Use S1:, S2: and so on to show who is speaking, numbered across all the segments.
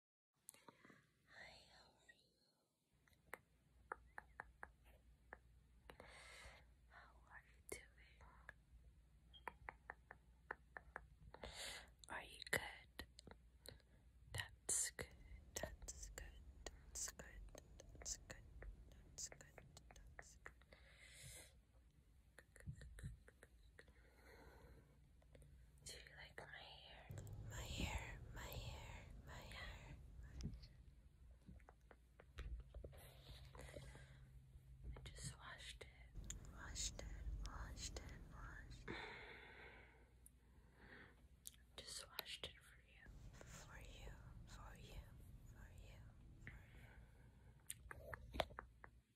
S1: Hi, how are you? How are you doing? Are you good? That's good. That's good. That's good. That's good. That's good. That's good. Do you like my hair? My hair, my hair, my hair. I just washed it. Washed it, washed it, washed Just washed it For you, for you, for you, for you.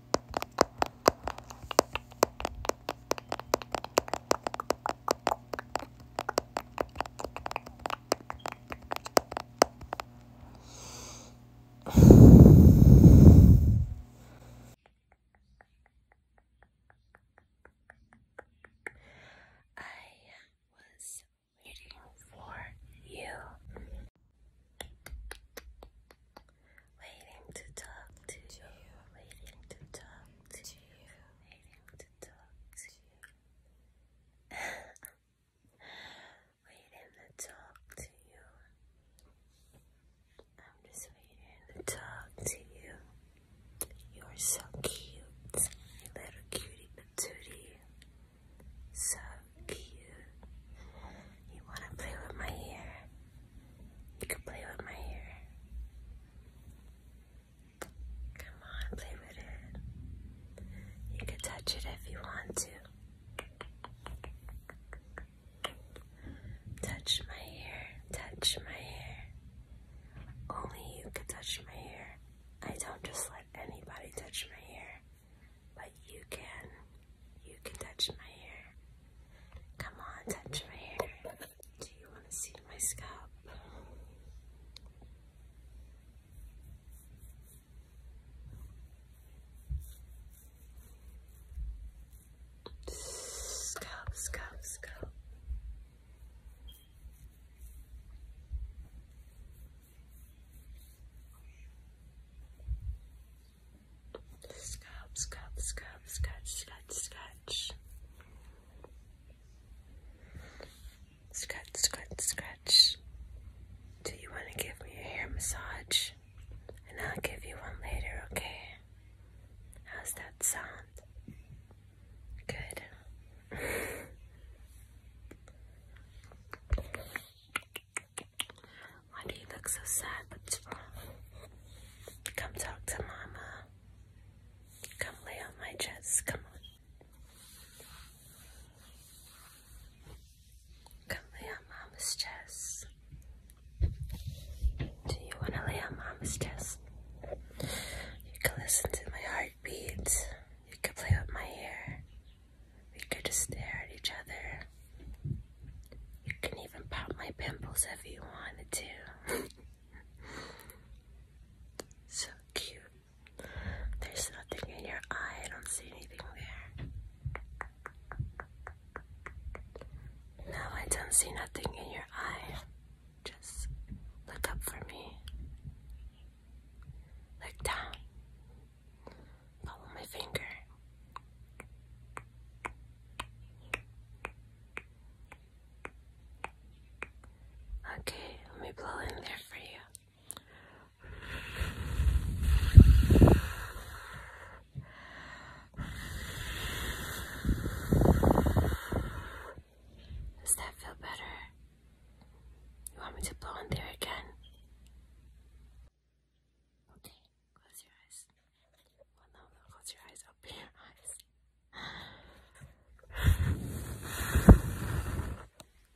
S1: I was waiting for you waiting to talk to you, waiting to talk to you, waiting to talk to you, waiting to talk to you. I'm just waiting to talk to you. You're so cute, little cutie patootie. So cute. You wanna play with my hair? You can play with my hair. Come on, play with it. You can touch it if you want to. Touch my hair, touch my hair. Only you can touch my hair. I don't just let anybody touch my hair, but you can. You can touch my hair. Come on, touch my hair. Do you want to see my scalp? Scalp, scalp, scalp. Scalp, scalp, scalp, scratch, scratch, scratch. Scratch, scratch, scratch. Do you want to give me a hair massage? And I'll give you one later, okay? How's that sound? Good. Why do you look so sad? What's wrong? Come talk to Mama. Come lay on my chest. Come on. Come lay on Mama's chest. Do you want to lay on Mama's chest? You can listen to my heartbeat. You can play with my hair. We could just stare at each other. You can even pop my pimples if you wanted to. so cute. There's nothing in your eye. I don't see anything there. No, I don't see nothing in your eye. Just look up for me. Look down. Follow my finger. Okay, let me blow in there for you. Does that feel better? You want me to blow in there again? Okay, close your eyes. no, close your eyes. Open your eyes.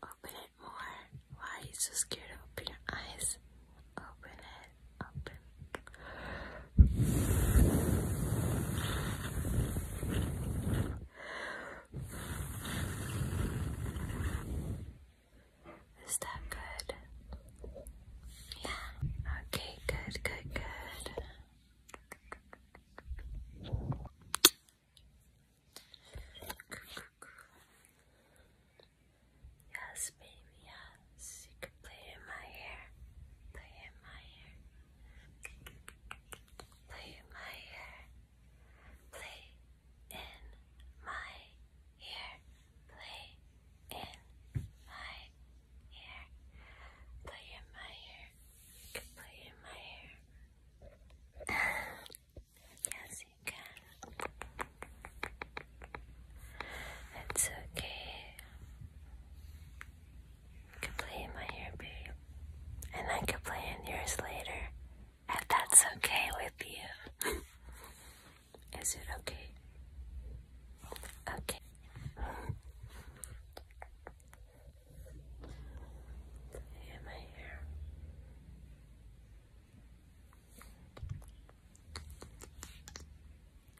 S1: Open it more. Why are you so scared of open your eyes? Open it. Open. Is that good? Yeah. Okay, good, good, good. Yes, baby, yes. You can play in my hair. Play in my hair. Play in my hair. Play in my hair. Play in my hair. Play in my hair. Play in my hair. yes, you can. It's okay. You can play in my hair, babe. And I can play in yours later. If that's okay with you. Is it okay? Okay. In my hair.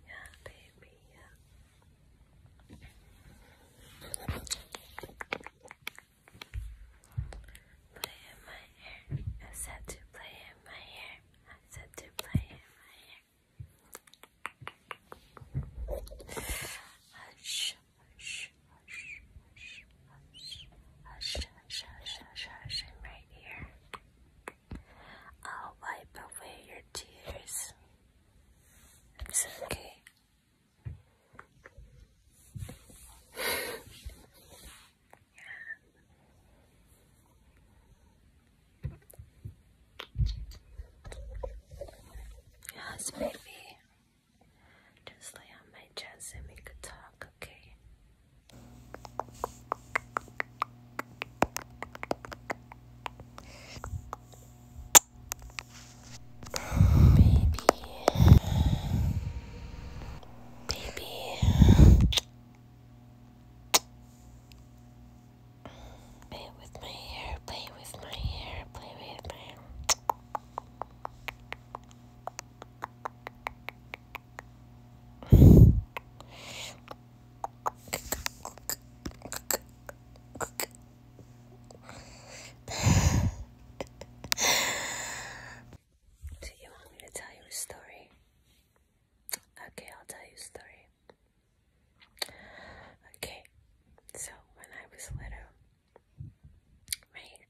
S1: Yeah, baby, yeah. Play in my hair. I said to play in my hair. I said to play in my hair. Hush, hush, hush, hush, hush, hush, hush, hush, hush, hush. I'm right here. I'll wipe away your tears. It's okay. Yes, baby. Just lay on my chest and we could talk, okay? Baby. Baby. Play with my hair, play with my hair, play with my hair. Do you want me to tell you a story? Okay, I'll tell you a story. Okay, so when I was little, right,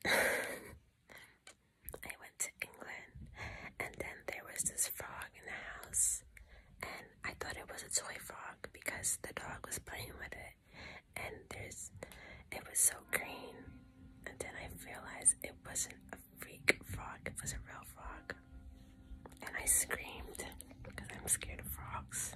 S1: I went to England and then there was this frog in the house and I thought it was a toy frog because the dog was playing with it and there's it was so green and then I realized it wasn't a freak frog, it was a real frog. And I screamed because I'm scared of frogs.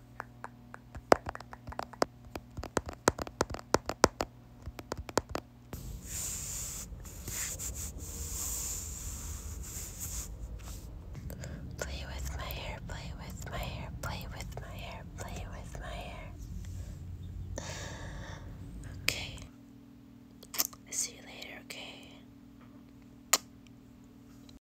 S1: Play with my hair, play with my hair, play with my hair, play with my hair. Okay. See you later, okay?